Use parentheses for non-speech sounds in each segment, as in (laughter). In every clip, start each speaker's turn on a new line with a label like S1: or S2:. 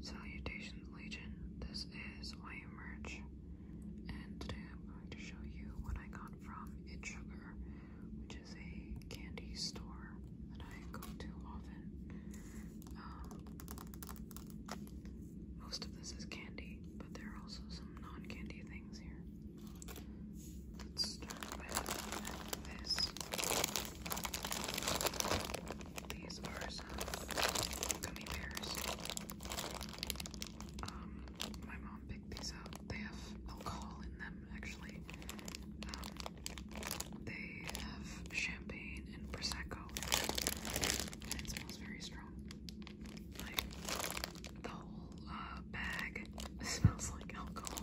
S1: Salutations Legion, this is I Emerge, and today I'm going to show you what I got from It Sugar, which is a candy store that I go to often. Um, most of this is candy, but there are also some non-candy things here. Let's start with this. These are some gummy bears. Um, my mom picked these up. They have alcohol in them, actually. Um, they have champagne and prosecco, it smells very strong. Like the whole uh, bag (laughs) smells like alcohol.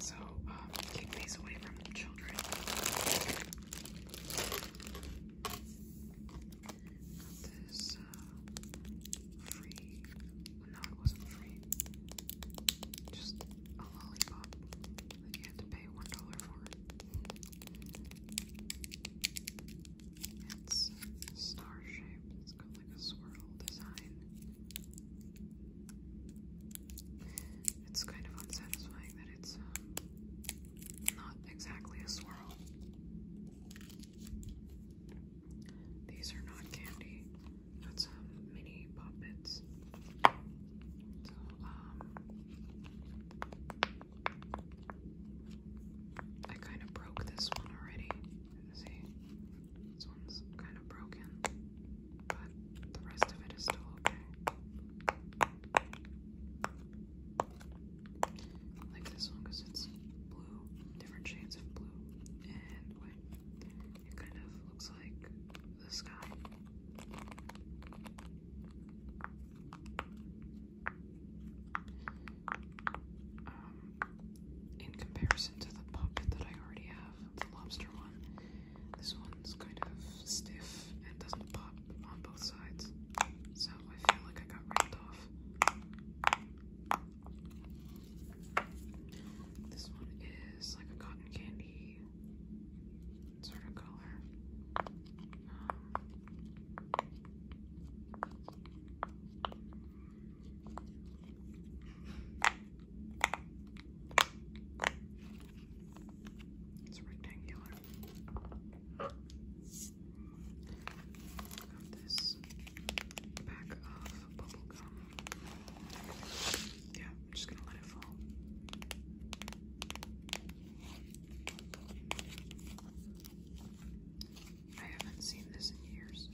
S1: So, um, keep these away from the children. this uh, free. No, it wasn't free. Just a lollipop that you had to pay one dollar for. It's uh, star shaped. It's got like a swirl design. It's kind of unsatisfying that it's um, not exactly a swirl. These are not candy. That's um, mini puppets. Um, I kind of broke this one already. See, this one's kind of broken but the rest of it is still okay. like this one because it's blue, different shades of blue and It kind of looks like the sky. Um, in comparison to the puppet that I already have the lobster one. This one's kind of stiff and doesn't pop on both sides, so I feel like I got ripped off. This one is like a cotton candy sort of color. Um, it's rectangular. Got this pack of bubble gum. Yeah, I'm just gonna let it fall. I haven't seen this in years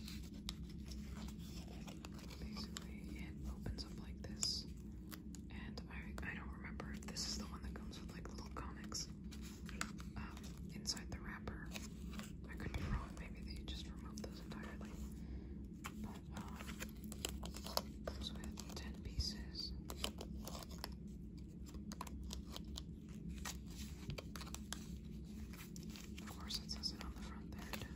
S1: basically it opens up like this. And I, I don't remember if this is the one that comes with like little comics um, inside the wrapper. I could be wrong, maybe they just removed those entirely. But comes um, with 10 pieces. Of course, it says it on the front there.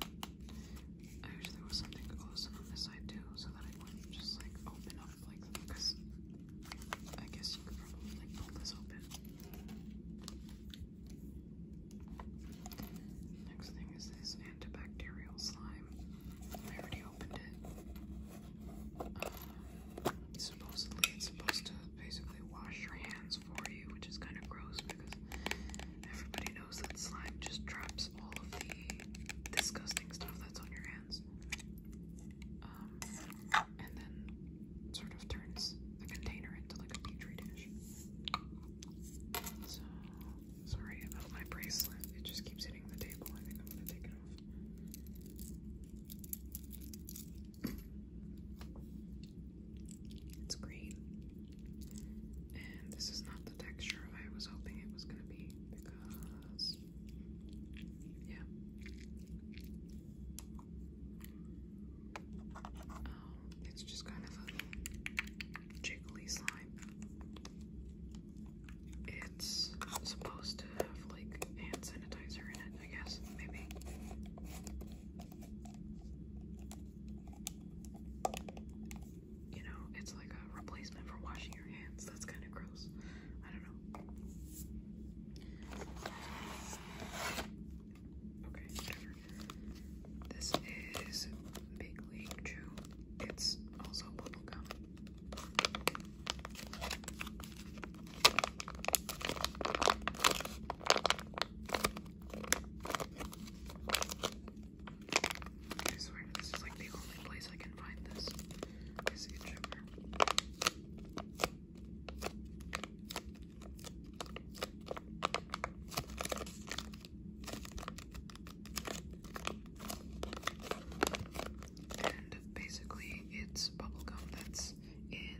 S1: I wish there was something closed on this side too, so that I wouldn't just like open up like because I guess you probably pull this open. Next thing is this antibacterial slime. I already opened it. Um, supposedly it's supposed to basically wash your hands for you, which is kind of gross because everybody knows that slime just traps all of the disgusting stuff that's on your hands. Um, and then sort of turns the container into like a petri dish. So, sorry about my bracelet. It just keeps hitting the table. I think I'm gonna take it off. It's green. And this is not the texture I was hoping it was going to be because, yeah. Oh, it's just kind of a jiggly slime. It's supposed to have like hand sanitizer in it, I guess, maybe you know, it's like a replacement for washing your hands. That's kind of gross. I don't know. Okay, This is Big League Chew. It's also bubblegum. I swear, this is like the only place I can find this. Is YouTuber. And basically, it's bubblegum that's in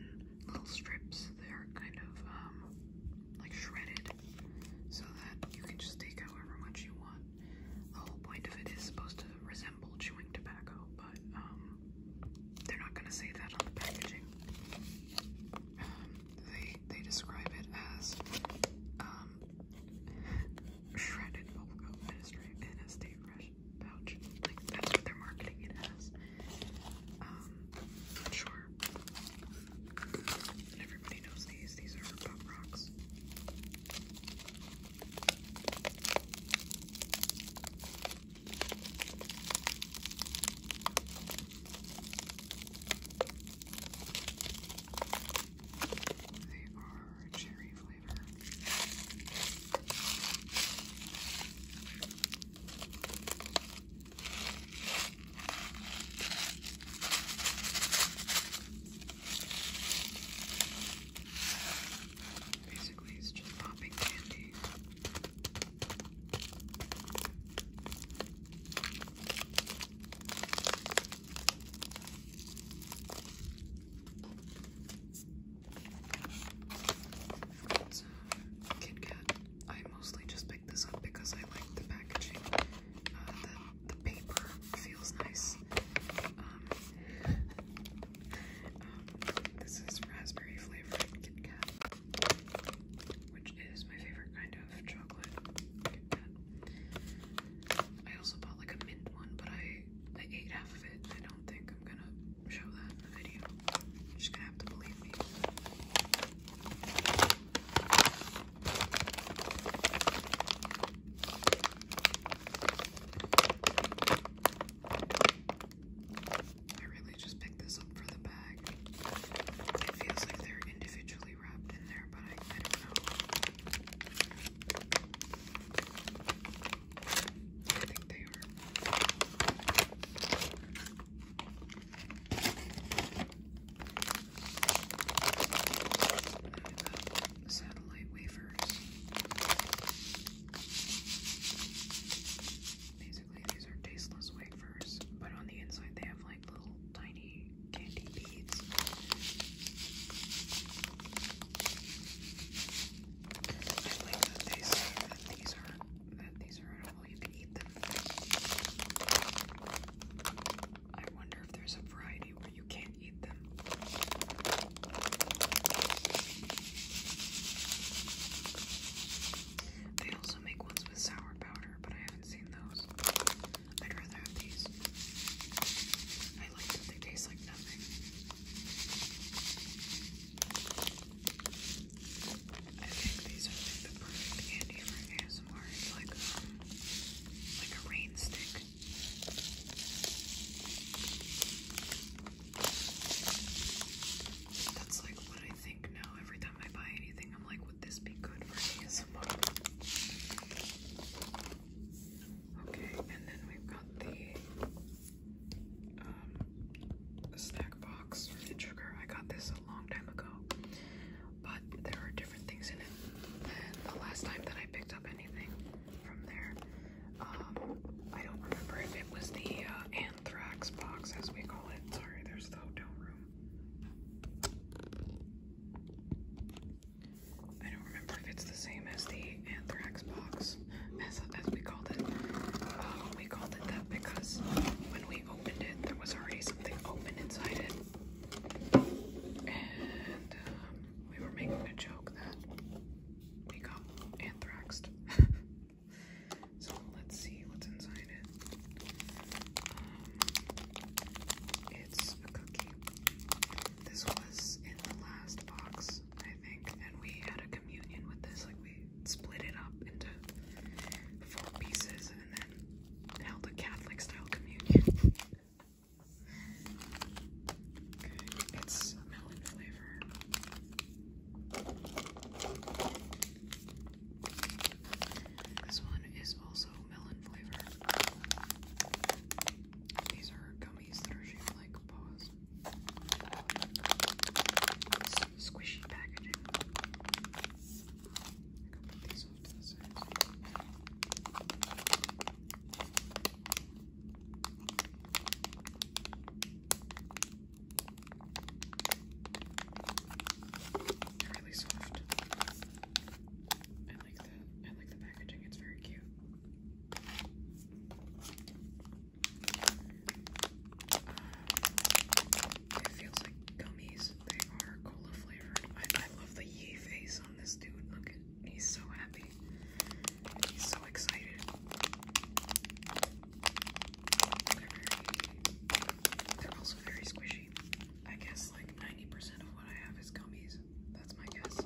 S1: little strips. They're kind of um, like shredded so that you can just take however much you want. The whole point of it is supposed to resemble chewing tobacco, but um, they're not going to say that on the packaging. Um, they they describe it as um, shredded bubblegum in a stay fresh pouch. Like that's what they're marketing it as. Um, sure. Everybody knows these. These are pop rocks. They are cherry flavor. Basically, it's just popping candy. It's a Kit I mostly just picked this up because I like the packaging. Uh, that the paper feels nice. Um, um, this is raspberry flavored Kit which is my favorite kind of chocolate I also bought like a mint one, but I I ate half of it. I don't think I'm gonna show that in the video. just gonna have to believe me. I really just picked this up for the bag. It feels like they're individually wrapped in there, but I, don't know. I think they are satellite wafers. Basically, these are tasteless wafers, but on the inside they have like little tiny candy beads. I like that they say that these are that these are edible. You can eat them. I wonder if there's a variety where you can't eat them. They also make ones with sour powder, but I haven't seen those. I'd these. I like that they taste like nothing. I think these are the perfect candy for ASMR. It's like, um, like a rain stick. That's like what I think now. Every time I buy anything, I'm like, would this be good for ASMR? Okay, and then we've got the um, snack box Sugar. I got this a long time ago, but there are different things in it the last time that I picked up anything from there. Um, I don't remember if it was the uh, anthrax box, as we call it. Sorry, there's the hotel room. I don't remember if it's the same as the anthrax box, as, we called it. Uh, we called it that because when we opened it, there was already something open inside it. Um, we were making a joke that we got anthraxed. (laughs) so let's see what's inside it. Um, it's a cookie. This was in the last box, I think, and we had a communion with this. Like we split it up into four pieces and then held a Catholic style communion. (laughs) It's melon flavor. This one is also melon flavor. These are gummies that are shaped like paws. squishy packaging. I can put these off to really soft. I like the I like the packaging, it's very cute. Uh, it feels like gummies. They are cola flavored. I, love the yee face on this dude. Look at He's so happy. He's so excited. They're, very, they're also very squishy. I guess like 90% of what I have is gummies. That's my guess.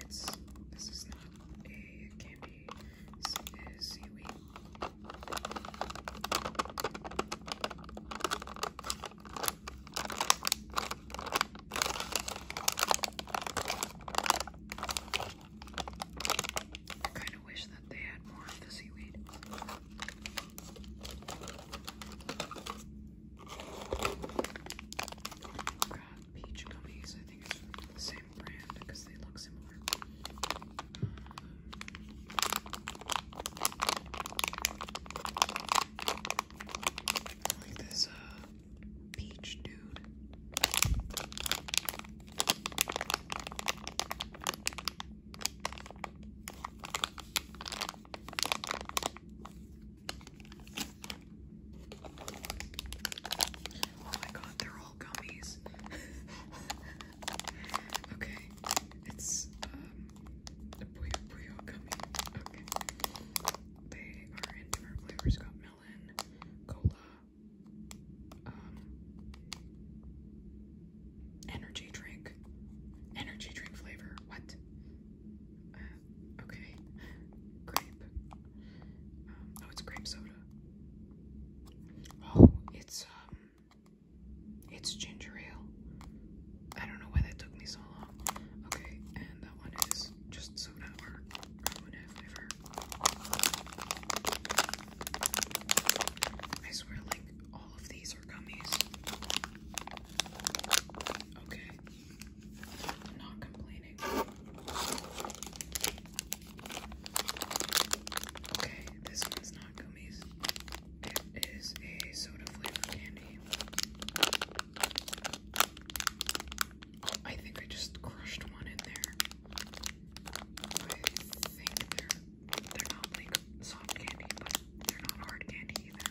S1: It's this is not a candy. This is seaweed. I kind of wish that they had more of the seaweed. Got peach gummies. I think it's from the same brand because they look similar like this uh peach dude. Oh my god, they're all gummies. (laughs) okay, it's um, the Puyo Puyo gummy. Okay. They are in different flavors. Got melon, cola, um, energy drink. Energy drink flavor. What? Uh, okay. Grape. Um, oh, it's grape soda. Oh, it's um, it's ginger ale. I don't know why that took me so long. Okay, and that one is just soda or lemonade flavor. I swear, like, all of these are gummies. Okay. not complaining. Okay, this one's not gummies. It is a soda flavor candy. I think I just crushed one in there. I think they're they're not like soft candy, but they're not hard candy either.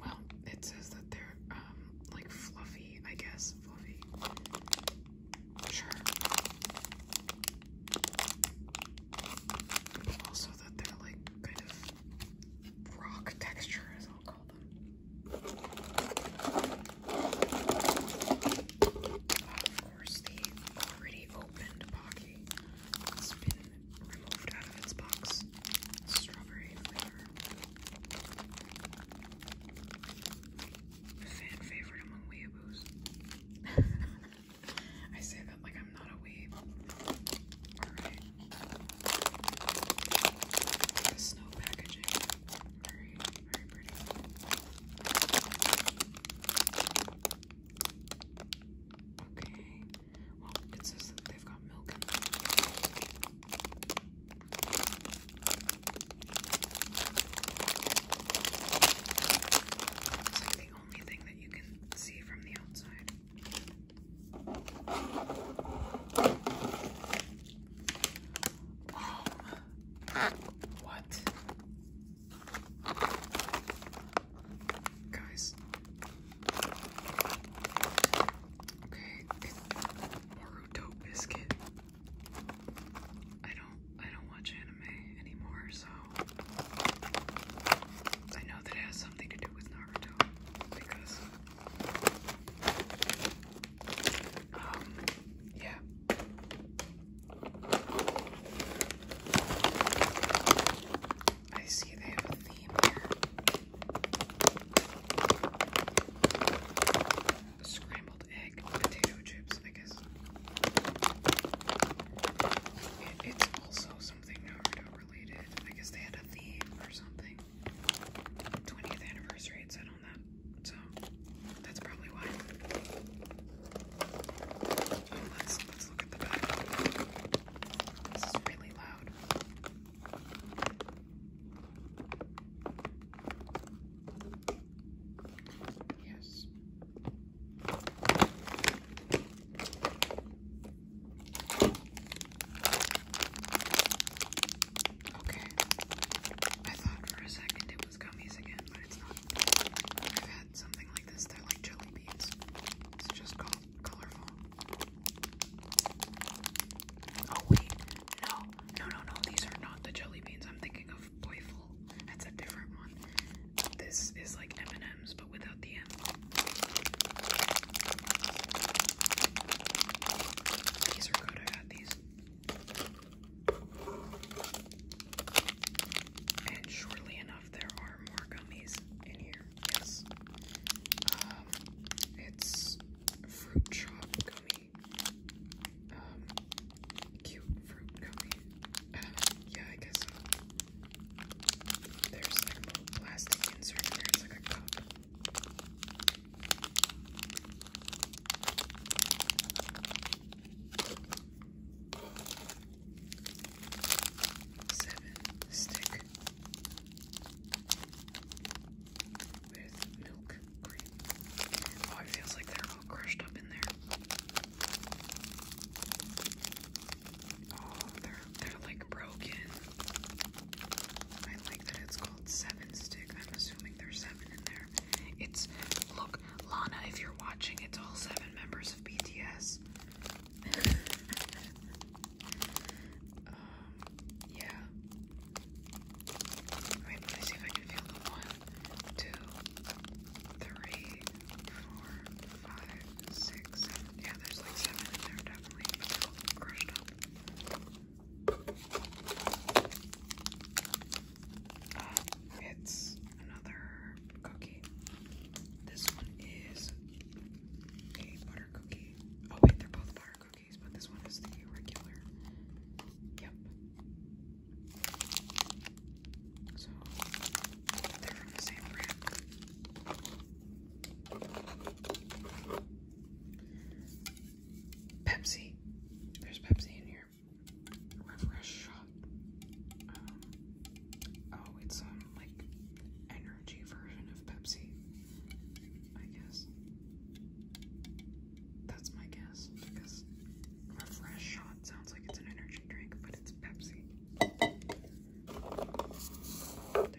S1: Well, it says that they're um like fluffy, I guess. Fluffy. Sure. Also that they're like kind of rock texture as I'll call them. Of course the already opened Pocky has been removed out of its box. Strawberry flavor. favorite among weeaboos. (laughs) I say that like I'm not a weeb. Alright. The snow packaging. Very, very pretty. Okay. Well, it says that they've got milk in them. It's only thing that you can see from the outside. what? Guys. Okay, it's Biscuit. I don't I don't watch anymore, so I know that it has something to do with Naruto because um yeah. I see they have a theme here. scrambled egg, potato chips, I guess. it's also something Naruto related. I guess they had a theme or something. 20th anniversary, it said on that. So that's probably why. Oh, let's let's look at the back. This is really loud. Yes. Okay. I thought for a second it was gummies again, but it's not. I've had something like this. They're like jelly beans. It's just colorful. Oh wait, no, no, no, no. These are not the jelly beans. I'm thinking of playful. That's a different one. This is like M&M's but without the M. These are good. I got these. And surely enough, there are more gummies in here. Yes. Um, it's fruit chop gummy. Um, cute fruit gummy. Uh, yeah, I guess there's like a plastic insert here. It's like a cup. Seven stick with milk cream. Oh, it feels like they're all crushed up in there. Oh, they're they're like broken. I like that it's called seven stick. I'm assuming there's seven in there. It's look, Lana, if you're watching, it's all seven members of BTS. (laughs) Um, yeah. let me see if I can feel the one, two, three, four, five, six, seven. Yeah, there's like seven in there definitely, crushed up. it's another cookie. This one is a butter cookie. Oh wait, they're both butter cookies, but this one is the regular. Yep. So they're from the same brand. Pepsi. There's Pepsi in here. Refresh shot. Um, oh, it's um, like energy version of Pepsi. I guess. That's my guess because refresh shot sounds like it's an energy drink, but it's Pepsi there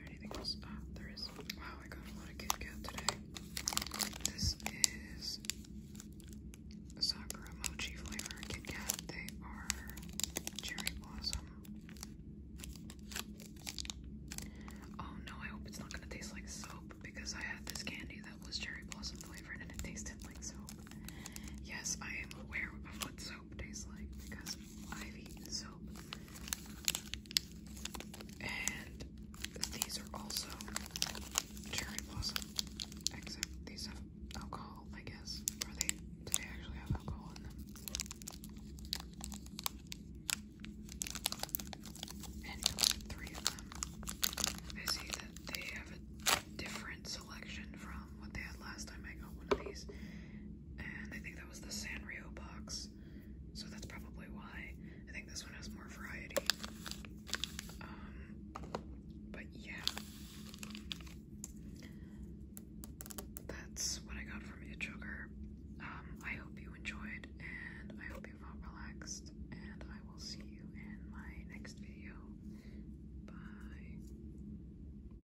S1: anything else? Ah, there is. Wow, I got a lot of Kit today. This is Sakura Mochi flavor Kit They are cherry blossom. Oh no, I hope it's not gonna taste like soap because I had this candy that was cherry blossom flavored and it tasted like soap. Yes, I am aware of what soap tastes like because I've eaten soap. And these are also cherry blossom, except these have alcohol, I guess. Or they do they actually have alcohol in them? And three of them. I see that they have a different selection from what they had last time I got one of these and I think that was the Sanrio box, so that's probably why. I think this one has more variety. Um, but yeah, that's what I got from Itchoker. Um, I hope you enjoyed, and I hope you felt relaxed, and I will see you in my next video. Bye.